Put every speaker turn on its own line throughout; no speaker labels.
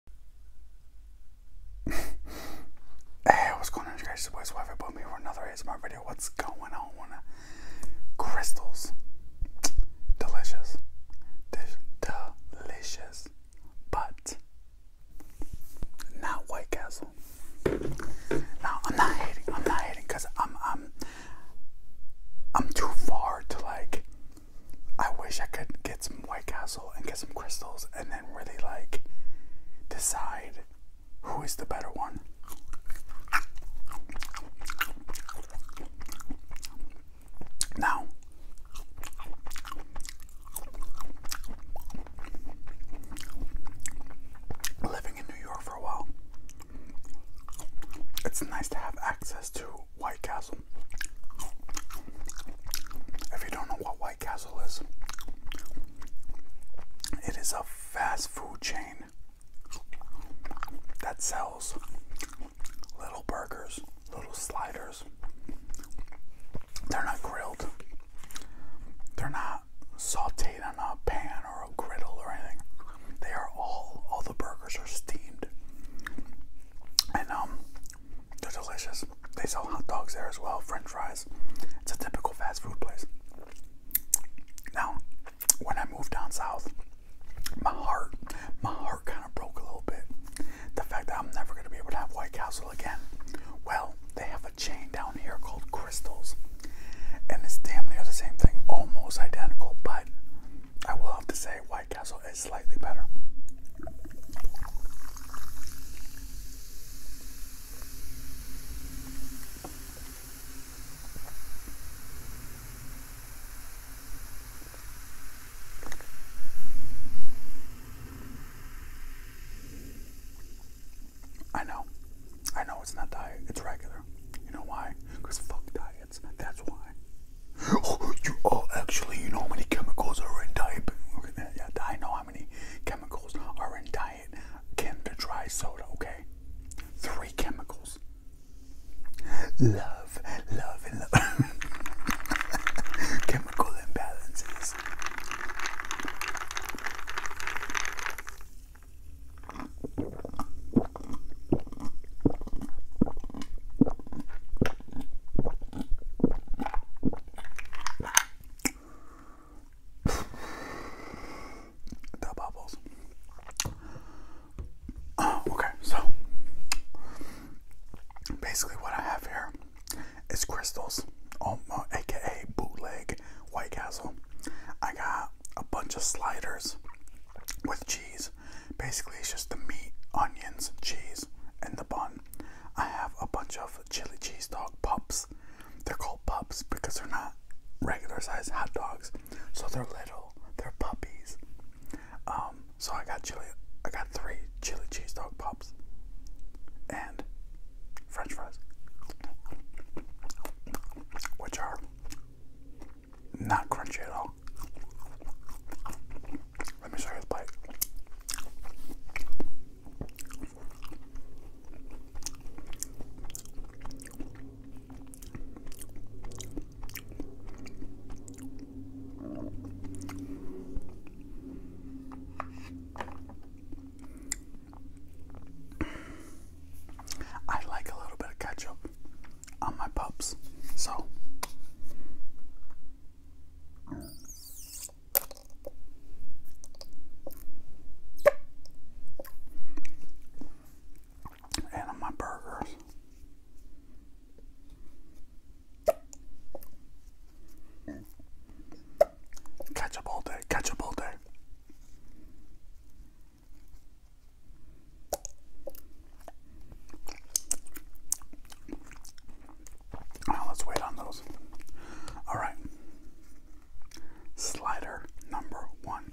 hey, what's going on, guys? It's Wes Wife about me for another ASMR video. What's going on? Crystals. Delicious. Delicious. But not White Castle. No, I'm not hating. I'm not hating because I'm I'm I'm too far to like I wish I could get some White Castle and get some crystals and then really like decide who is the better one. Now, living in New York for a while, it's nice to have access to White Castle. If you don't know what White Castle is, it is a fast food chain that sells little burgers, little sliders. They're not grilled, they're not sauteed on a pan or a griddle or anything. They are all, all the burgers are steamed. And um, they're delicious. They sell hot dogs there as well, french fries. It's a typical fast food place. Now, when I moved down south, my heart, my heart kind of broke a little bit. The fact that I'm never going to be able to have White Castle again. Well, they have a chain down here called Crystals. And it's damn near the same thing, almost identical, but I will have to say White White Castle is slightly better. I know. I know it's not diet, it's regular. You know why? Because fuck diet. That's why. Oh, you, oh, actually, you know how many chemicals are in diet. Yeah, I know how many chemicals are in diet Kinder Dry soda. Okay, three chemicals. Love, love, and love. Chemical imbalances the bubbles. Oh, okay, so basically, what I have here is crystals, um, uh, aka bootleg White Castle. I got a bunch of sliders with cheese. Basically, it's just the meat, onions, cheese, and the bun. I have a bunch of chili cheese dog pups. They're called pups because they're not regular size hot dogs, so they're little. They're puppies. Um, so I got chili. I got three chili cheese dog pups and French fries, which are not crunchy at all. Let me show you the bite. I like a little bit of ketchup on my pups. So and on my burgers. Catch up all day, catch up all day. Now let's wait on those. All right. Slider number one.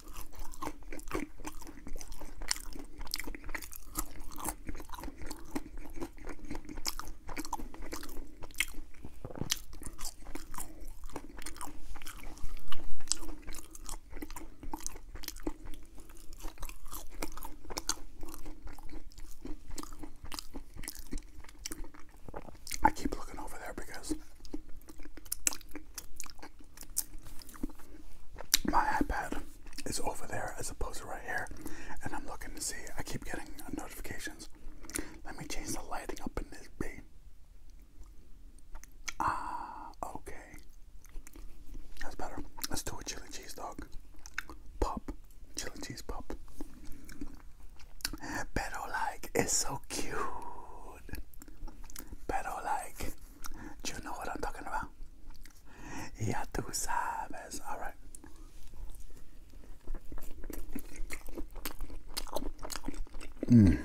I keep looking over there because my iPad is over there as opposed to right here, and I'm looking to see. I keep getting notifications. Let me change the lighting up in this B. Ah, okay. That's better. Let's do a chili cheese dog. Pop. Chili cheese pop. Better like, it's so cute food. Pero like, you know what I'm talking about? Ya tú sabes. All right. Mm.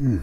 Mm.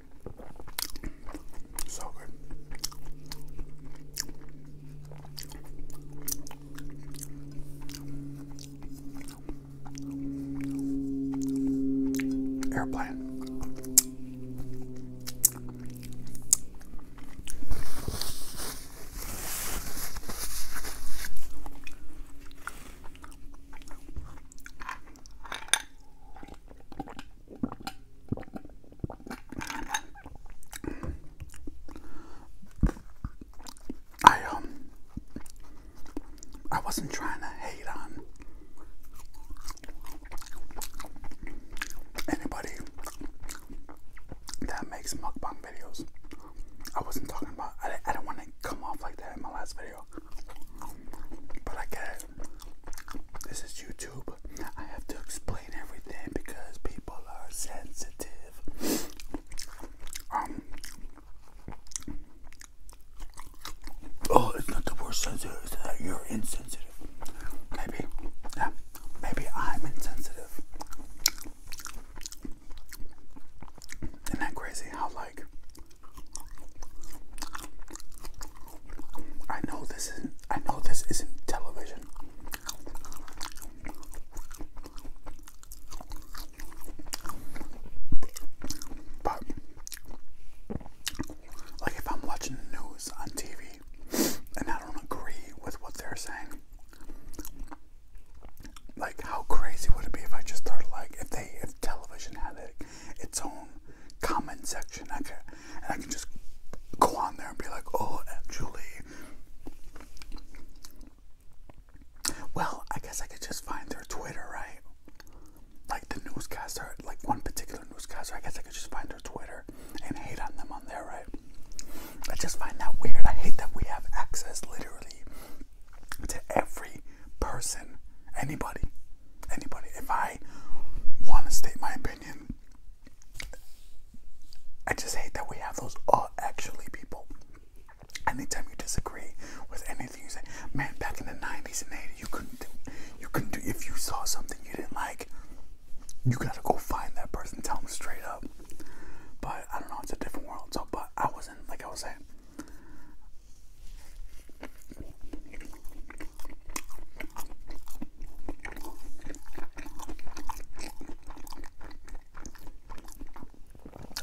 So good. Airplane. I um I wasn't trying to hate on anybody that makes mukbang videos. I wasn't talking about I, I didn't want to come off like that in my last video. But I get it. This is YouTube. I have to explain everything because people are sensitive. Um, oh, it's not the worst sensitive. It's that you're insensitive. Maybe. Yeah. Maybe I'm insensitive. Isn't that crazy? How I know this isn't I know this isn't television. But like if I'm watching the news on TV and I don't agree with what they're saying like how crazy would it be if I just started like if they if television had it its own comment section. I can, and I can just go on there and be like, oh, actually. Well, I guess I could just find their Twitter, right? Like the newscaster, like one particular newscaster, I guess I could just find their Twitter and hate on them on there, right? I just find that weird. I hate that we have access literally to every person, anybody, anybody. If I want to state my opinion, I just hate that we have those all actually people. Anytime you disagree with anything, you say, "Man, back in the '90s and '80s, you couldn't do, you couldn't do. If you saw something you didn't like, you gotta go find that person, tell them straight up." But I don't know, it's a different world. So, but I wasn't like I was saying.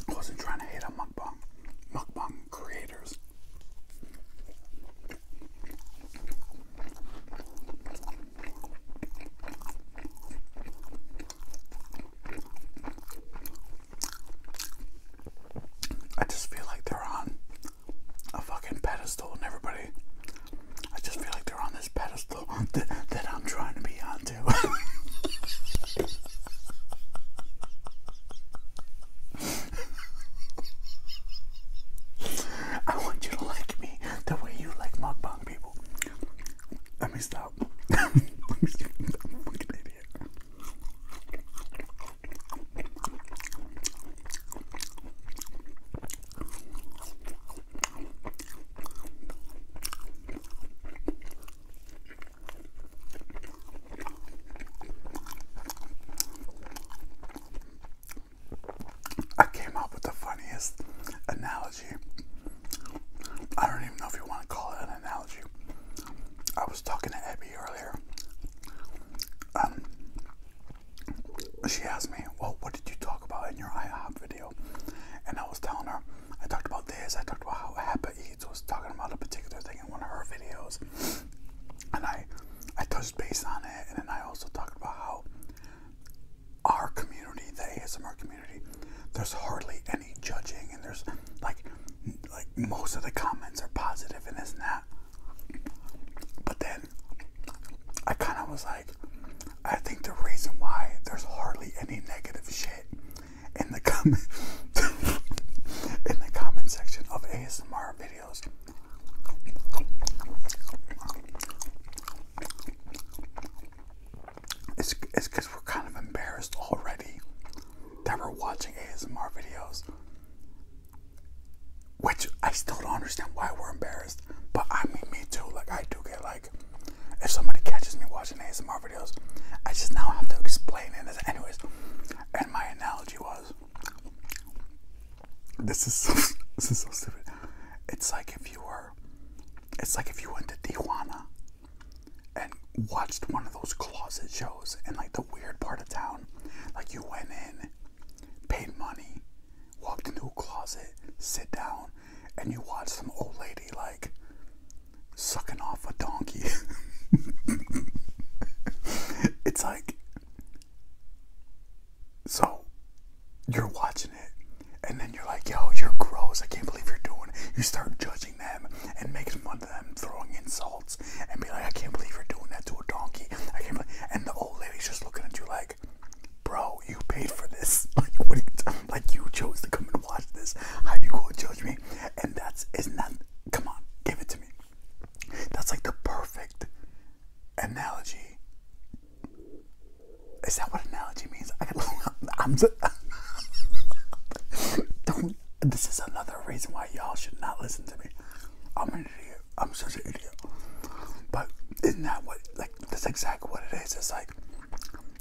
I wasn't trying to hate on mukbang, mukbang creators. I just feel like they're on a fucking pedestal and everybody I just feel like they're on this pedestal that, that I'm trying to be onto. I want you to like me the way you like mukbang people. Let me stop. I'm an idiot. I came up with the funniest analogy. I don't even know if you want to call it an analogy. I was talking to Abby earlier. Um, she asked me, Well, what did you talk about in your IHOP video? And I was telling her, I talked about this, I talked about how Happy Eats was talking about a particular thing in one of her videos. And I, I touched base on it, and then I also talked about how our community, the ASMR community, there's hardly any judging, and there's like like most of the comments are positive and this not that. But then I kind of was like, I think the reason why there's hardly any negative shit in the comment in the comment section of ASMR videos it's it's because we're kind of embarrassed already that we're watching ASMR videos, which I still don't understand why we're embarrassed. But I mean, me too. Like I do get like, if somebody catches me watching ASMR videos, I just now have to explain it. anyways, and my analogy was, this is so, this is so stupid. It's like if you were, it's like if you went to Tijuana and watched one of those closet shows in like the weird part of town. Like you went in, paid money, walked into a closet, sit down, and you watched some old lady like sucking off a donkey. it's like so you're watching it and then you're like, yo, you're gross. I can't believe you're doing it. You start judging and making fun of them, throwing insults, and be like, I can't believe you're doing that to a donkey. I can't believe. And the old lady's just looking at you like, Bro, you paid for this. Like, You like, you chose to come and watch this. How you gonna judge me? And that's isn't that? Come on, give it to me. That's like the perfect analogy. Is that what analogy means? I, I'm, this is another reason why y'all should not listen to me. I'm an idiot. I'm such an idiot. But isn't that what? Like that's exactly what it is. It's like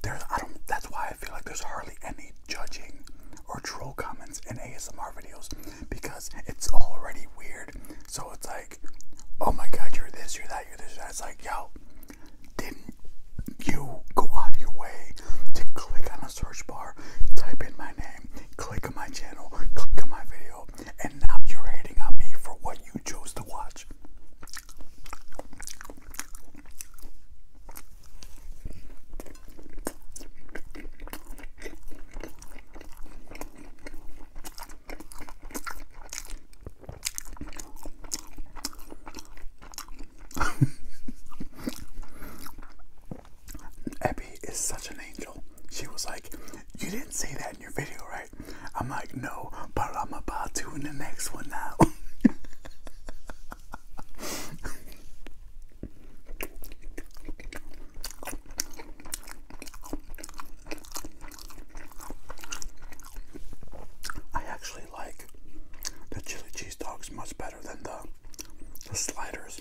there's. I don't. That's why I feel like there's hardly any judging or troll comments in ASMR videos because it's already weird. So it's like, oh my god, you're this, you're that, you're this, you It's like, yo, didn't you go out of your way to click on a search bar, type in my name, click on my channel, click on my video, and now you're hating on me for what you chose to watch? Abby is such an angel. She was like, You didn't say that in your video, right? I'm like, No, but I'm about to in the next one now. I actually really like the chili cheese dogs much better than the the sliders.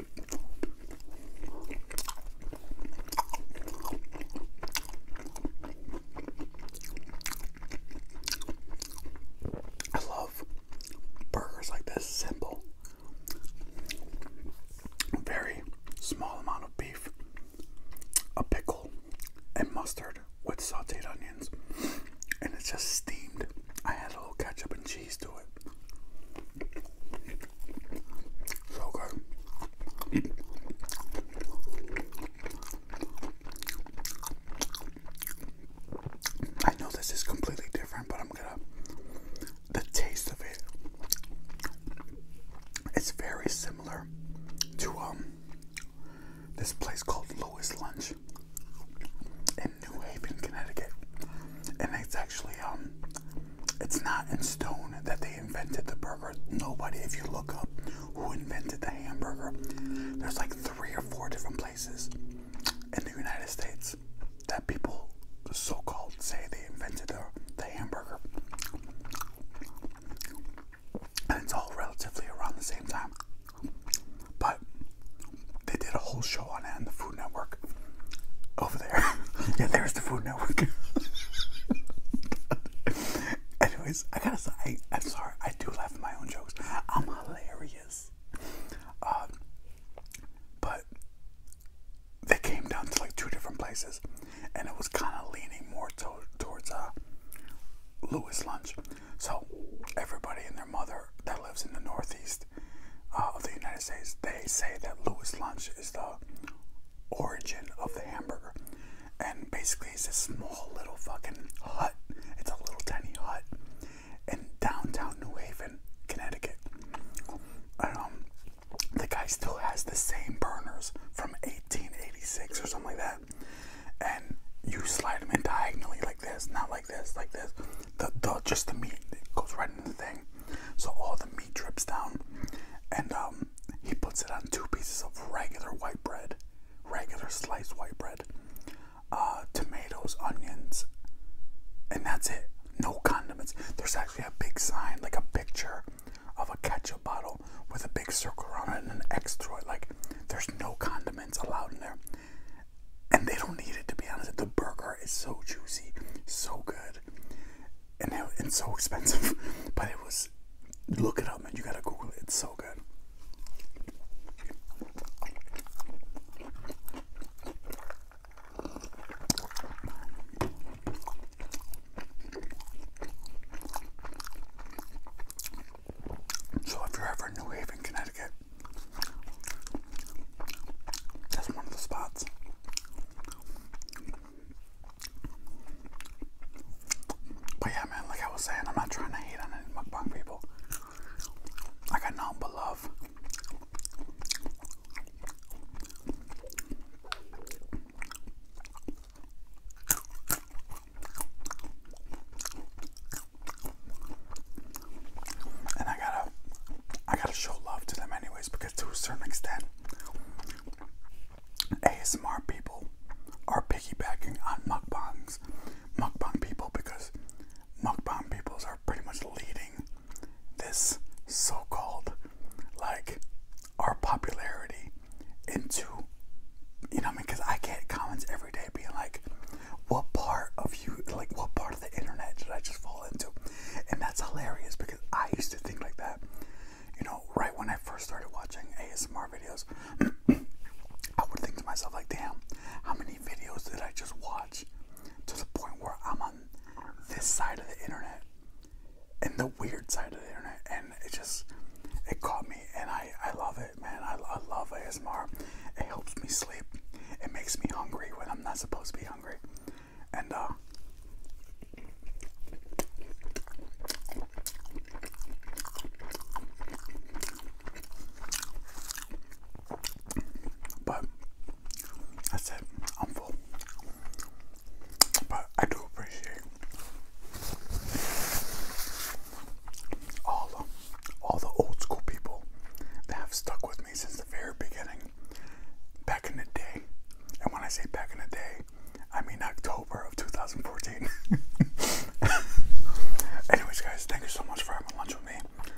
I love burgers like this, simple. Very small amount of beef, a pickle, and mustard with sauteed onions. And it's just steamed. I had a little ketchup and cheese to it. So good. I know this is completely different, but I'm gonna. The taste of it. It's very similar to um this place called Lewis Lunch in New Haven, Connecticut, and it's actually um it's not in stone that they invented the burger. Nobody, if you look up who invented the hamburger, there's like three or four different places in the United States that people so called say they invented the, hamburger. And it's all relatively around the same time. But they did a whole show on it, and the food. Network over there. yeah, there's the Food Network. Anyways, I gotta say, I, am sorry, I do laugh my own jokes. I'm hilarious. Um, but they came down to like two different places, and it was kind of leaning more towards a uh, Louis Lunch. So everybody and their mother that lives in the Northeast uh, of the United States, they say that Louis lunch is the origin of the hamburger. And basically, it's a small little fucking hut. It's a little tiny hut in downtown New Haven, Connecticut. Um, the guy still has the same burners from 1886 or something like that. And you slide them in diagonally like this, not like this, like this the, the just the meat goes right in the thing, so all the meat drips down, and um, he puts it on two pieces of regular white bread, regular sliced white bread, uh, tomatoes, onions, and that's it. No condiments. There's actually a big sign, like a picture of a ketchup bottle with a big circle around it and an X through it. Like there's no condiments allowed in there and they don't need it to be honest. The burger is so juicy, so good, and it, it's so expensive, but it was. Look it up, man. You gotta Google it. It's so good. So if you're ever in New Haven, Connecticut, that's one of the spots. But yeah, man, like I was saying, I'm not trying to hate on any mukbang people. I got nothing but love and I gotta, I gotta show love to them anyways because to a certain extent, ASMR people are piggybacking on mukbangs, mukbang people because mukbang peoples are pretty much leading this so-called like our popularity into you know I mean because I get comments every day being like what part of you like what part the internet did I just fall into? And that's hilarious because I used to think like that. You know, right when I first started watching ASMR videos, I would think to myself, like, damn, how many videos did I just watch to the point where I'm on this side of the internet and the weird side of the internet? And it just, it caught me, and I, I love it, man. I, love ASMR. It helps me sleep, it makes me hungry when I'm. I'm not supposed to be hungry. And uh, but that's it. I'm full. But I do appreciate all of all the old school people that have stuck with me since the very beginning, back in the day. And when I say back in the day, I mean October of 2014. Anyways, guys, thank you so much for having lunch with me.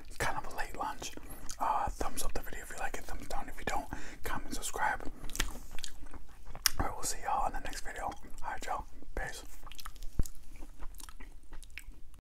It's kind of a late lunch. Uh, thumbs up the video if you like it, thumbs down if you don't. Comment, subscribe. Alright, we'll see y'all in the next video. Alright, y'all. Peace.